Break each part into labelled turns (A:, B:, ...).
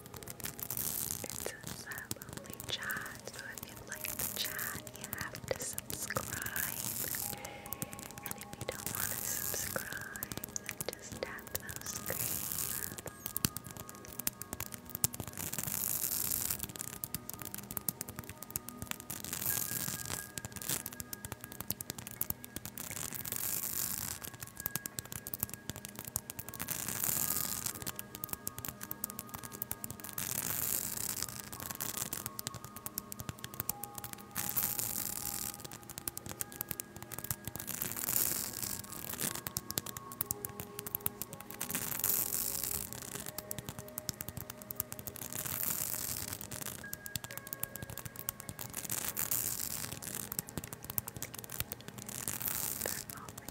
A: It's if you like the chat, you have to subscribe. And if you don't want to subscribe, then just tap those screens. Thank Turn off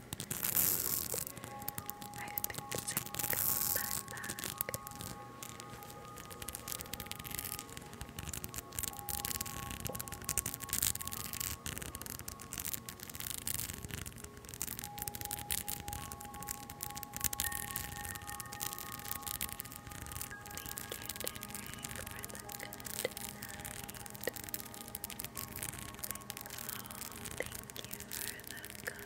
A: I've been sick back. Thank you, for the good night. thank you have a night.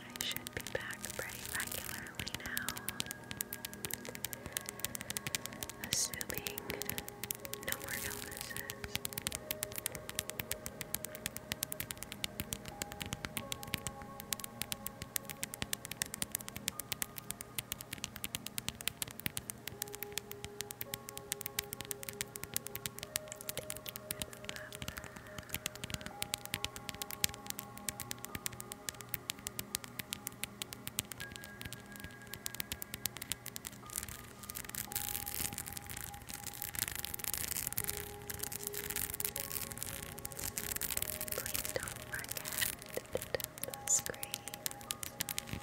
A: I should be back pretty regularly now, assuming no more illnesses. Thank you Please don't forget to tap the screen. Thank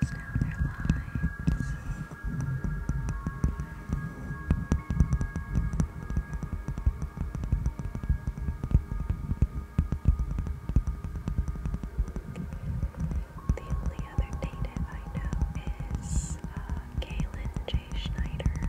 A: calms down The only other native I know is uh, J. Schneider.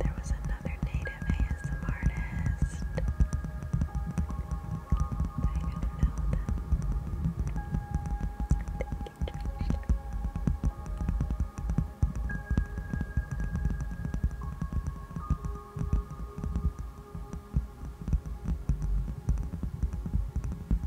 A: There was another native ASM artist. I don't know them. Thank you,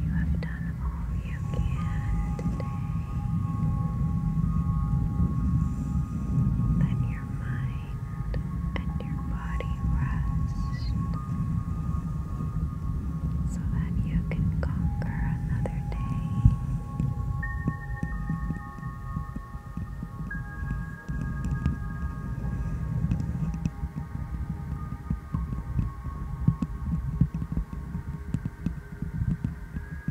A: You have done all you can today. Let your mind and your body rests, so that you can conquer another day.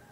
A: That's amazing.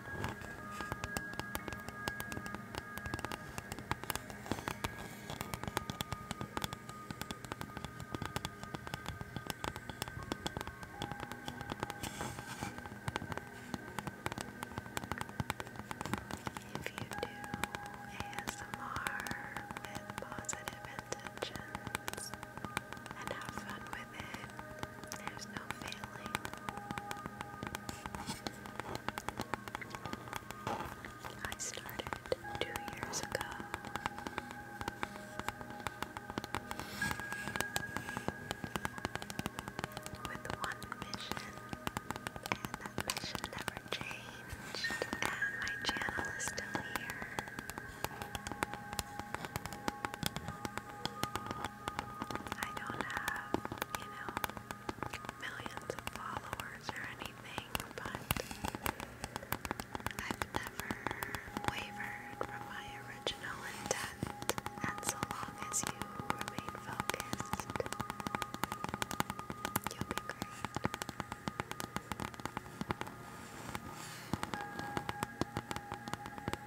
A: If you do ASMR with positive intentions and have fun with it, there's no failing. I started two years ago. With one mission, and that mission never changed, and my channel is still here. I don't have, you know, millions of followers or anything, but I've never wavered from my original intent, and so long as you remain focused, you'll be great.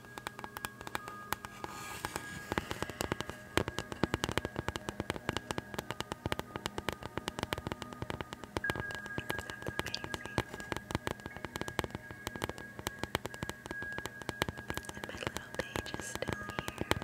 A: And my little page still here.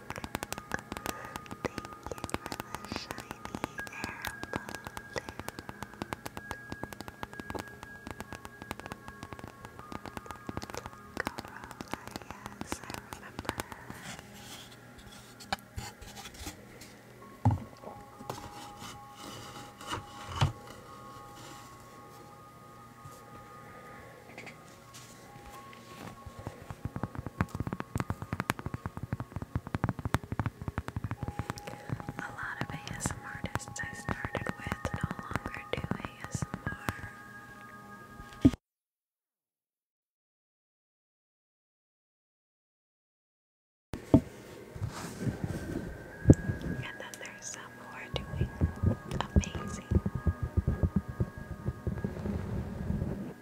A: the shiny air balloon. Corolla, yes, I remember. A lot of ASM artists I started with no longer do ASMR. And then there's some who are doing amazing. I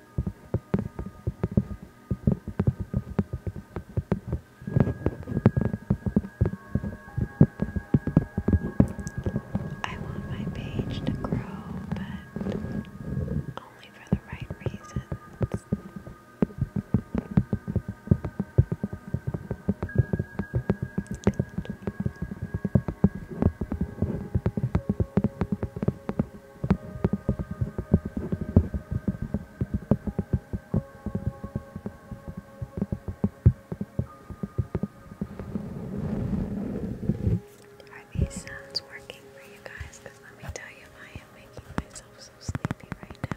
A: want my page to grow, but only for the right reasons. Are these sounds working for you guys? Because let me tell you, I am making myself so sleepy right now.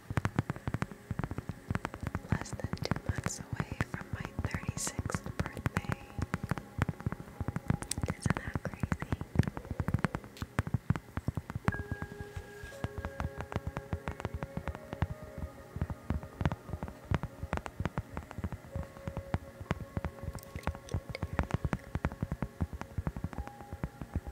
A: Less than two months away from my 36th birthday. Isn't that crazy? Thank you,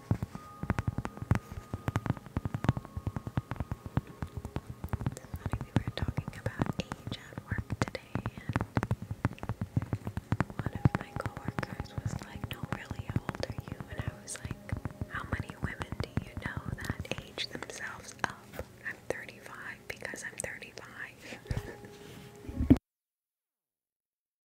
A: It's we were talking about age at work today, and one of my coworkers was like, No, really, how old are you? And I was like, How many women do you know that age themselves up? I'm 35 because I'm 35.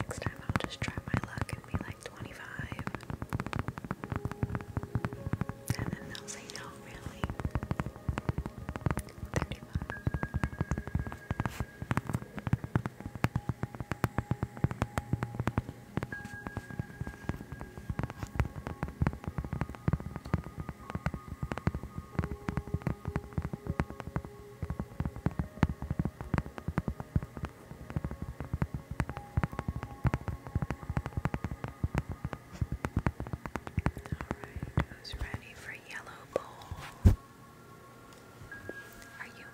A: Next time I'll just try my luck and be like 25. And then they'll say no, really. 35. Alright, who's ready for yellow bowl? Are you?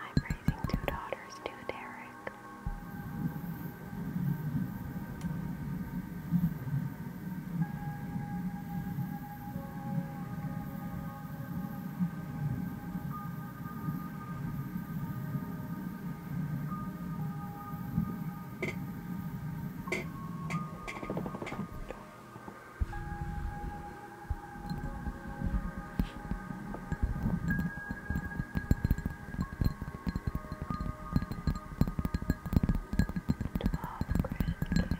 A: I'm raising two daughters too, Derek. Alright, Derek, fine.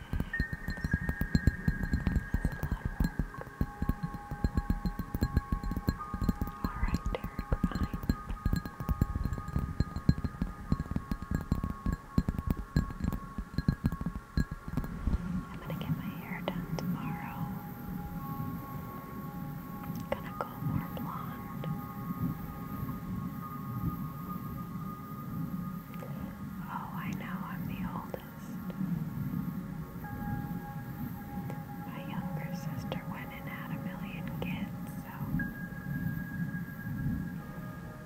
A: I'm gonna get my hair done tomorrow. gonna go more blonde. Oh, I know I'm the oldest. My younger sister went and had a million kids, so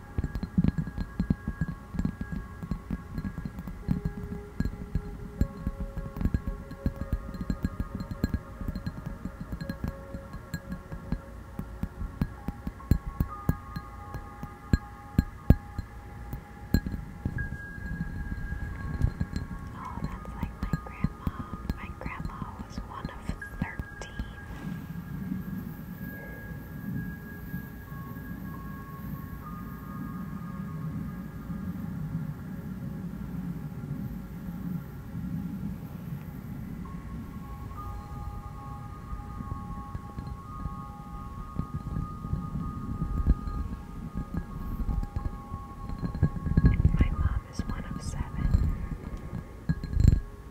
A: Oh, that's like my grandma. My grandma was one of 13 13. My mom is one of seven.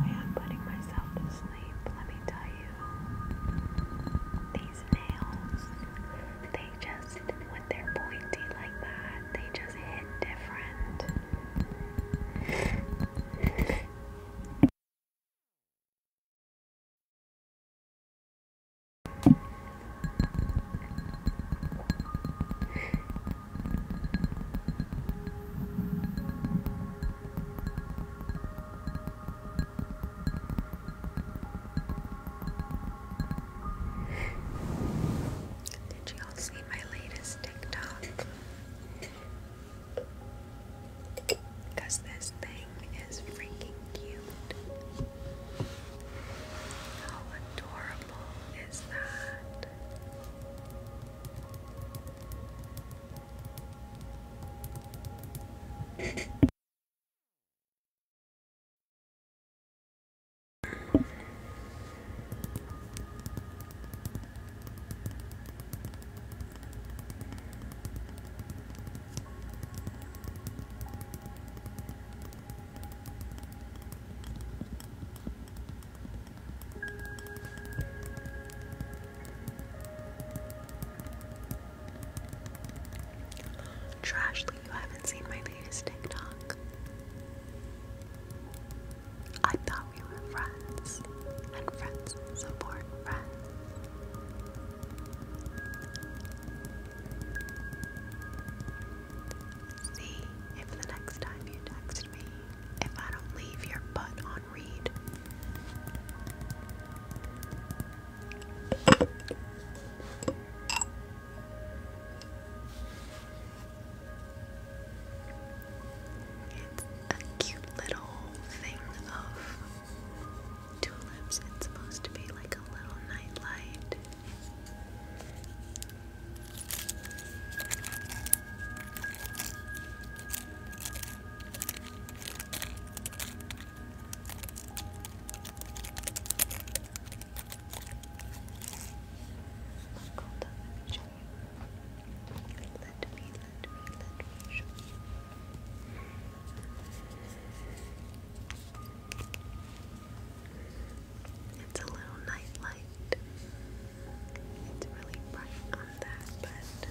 A: I am putting myself to sleep, let me tell you. These nails, they just, when they pointy like that, they just hit different. Did you all see my latest TikTok? Because this thing ring is freaking cute. How adorable is that? Trashly, you haven't seen my latest TikTok. I thought we were friends, and friends support friends. See if the next time you text me, if I don't leave your butt on read. It's a cute little thing of tulips. It's supposed to be like a little nightlight. Hold let me Let me, let me, let me show you. It's a little night It's really bright on that, but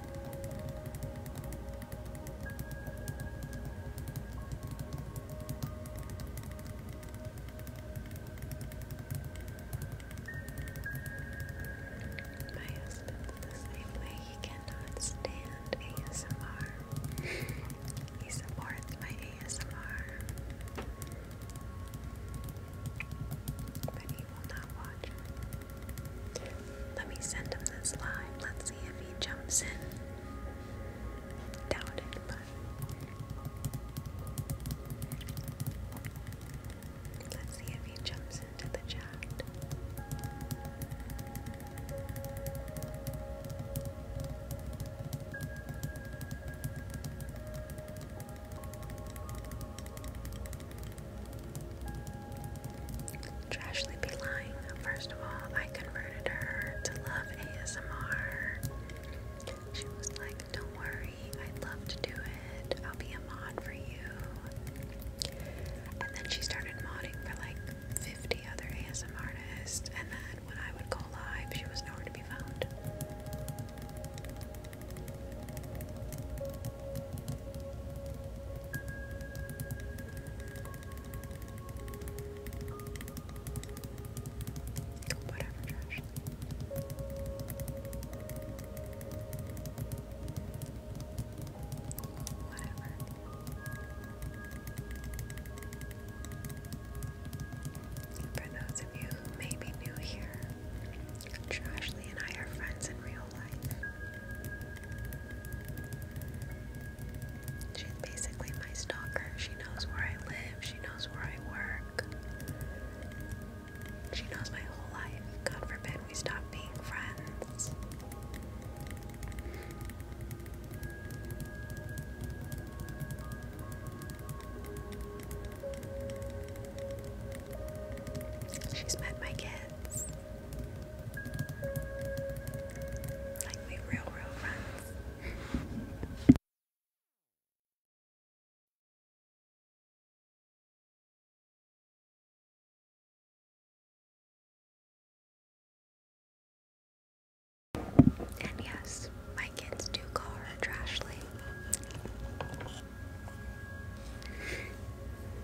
A: My husband's the same way. He cannot stand ASMR. he supports my ASMR. But he will not watch let me send him this live. Let's see if he jumps in. Doubt it, but let's see if he jumps into the chat. Trashly be lying. First of all, I converted her to love ASMR. She was like, Don't worry, I'd love to do it. I'll be a mod for you. And then she started modding for like 50 other ASMR artists. And then when I would go live, she was nowhere to be found. Whatever, trash. Whatever. For those of you who may be new here, Trashly and I are friends in real She's basically my stalker. She knows where I live, she knows where I work. She knows my whole life. God forbid we stop being friends. She's met my kids. Like real, real friends. And yes, my kids do call her Trashly.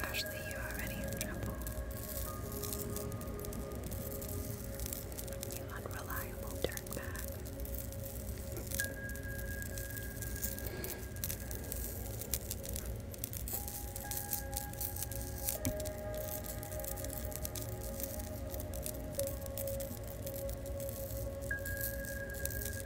A: Ashley, you are already in trouble. You unreliable dirtbag.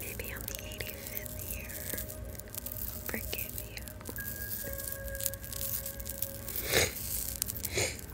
A: Maybe on the 85th year, I'll forgive you.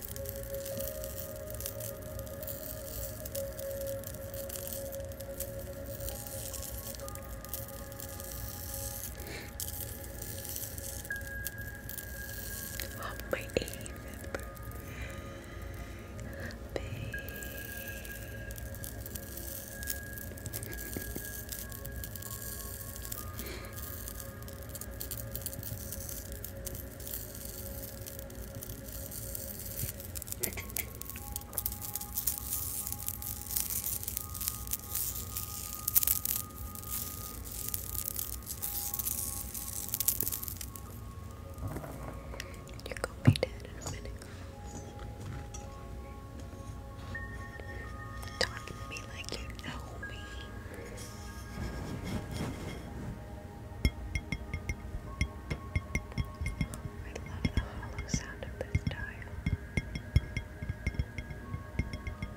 A: Oh, my eighth You're gonna be dead in a minute. Talking to me like you know me. I love the hollow sound of this dial.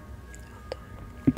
A: Well done.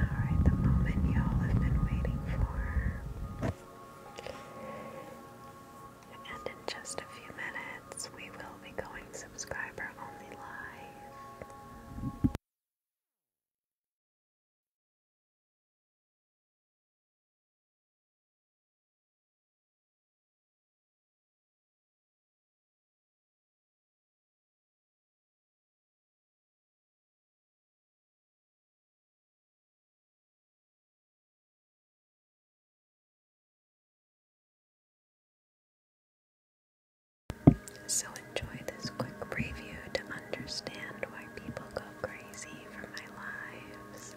A: Alright, the moment y'all have been waiting for. And in just a few minutes, we will be going subscriber only live. So enjoy this quick preview to understand why people go crazy for my lives.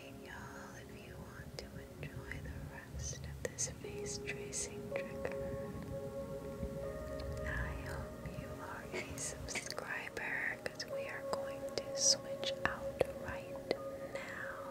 A: y'all, if you want to enjoy the rest of this face tracing trigger. I hope you are a subscriber because we are going to switch out right now.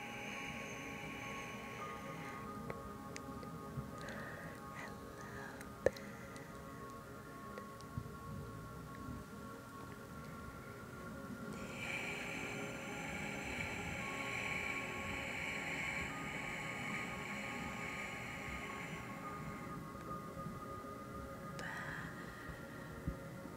A: Ben. Back.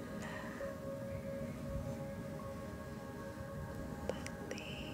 A: Believe. Believe. Believe.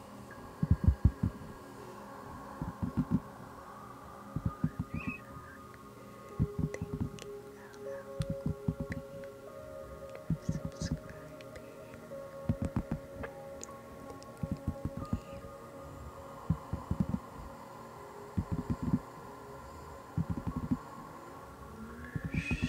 A: for You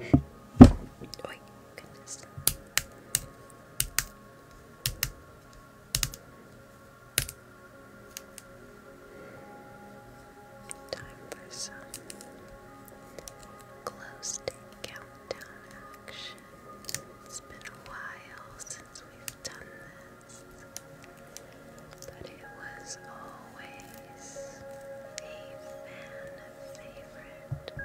A: Oh, goodness. Time for some close countdown action. It's been a while since we've done this, but it was all always a fan favorite. Wake up, wake up, wake up, wake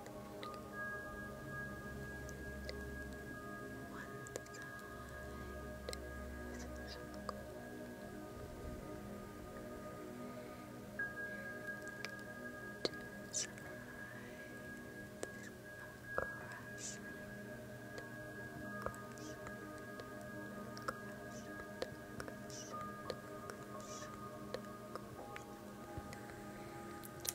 A: crescent, crescent, crescent, crescent,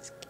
A: Skin, skin,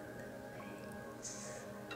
A: face. Scan Good.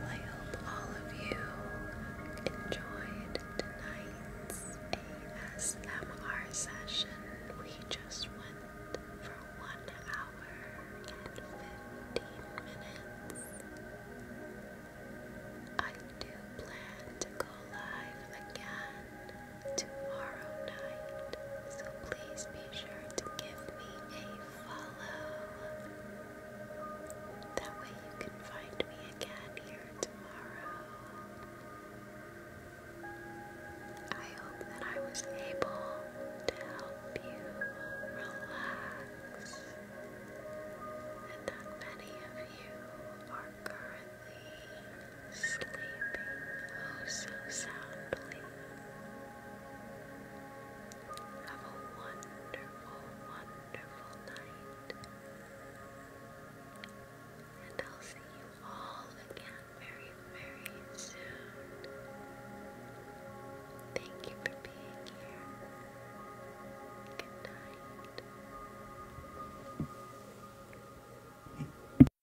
A: I hope all of you enjoyed tonight's ASMR session. We just went for one hour and fifteen minutes. I do plan to go live again tomorrow night, so please be sure to give me a follow. That way you can find me again here tomorrow. I hope that I was able to help you relax and that many of you are currently sleeping oh so soundly. Have a wonderful, wonderful night and I'll see you all again very, very soon. Thank you for being here. Good night.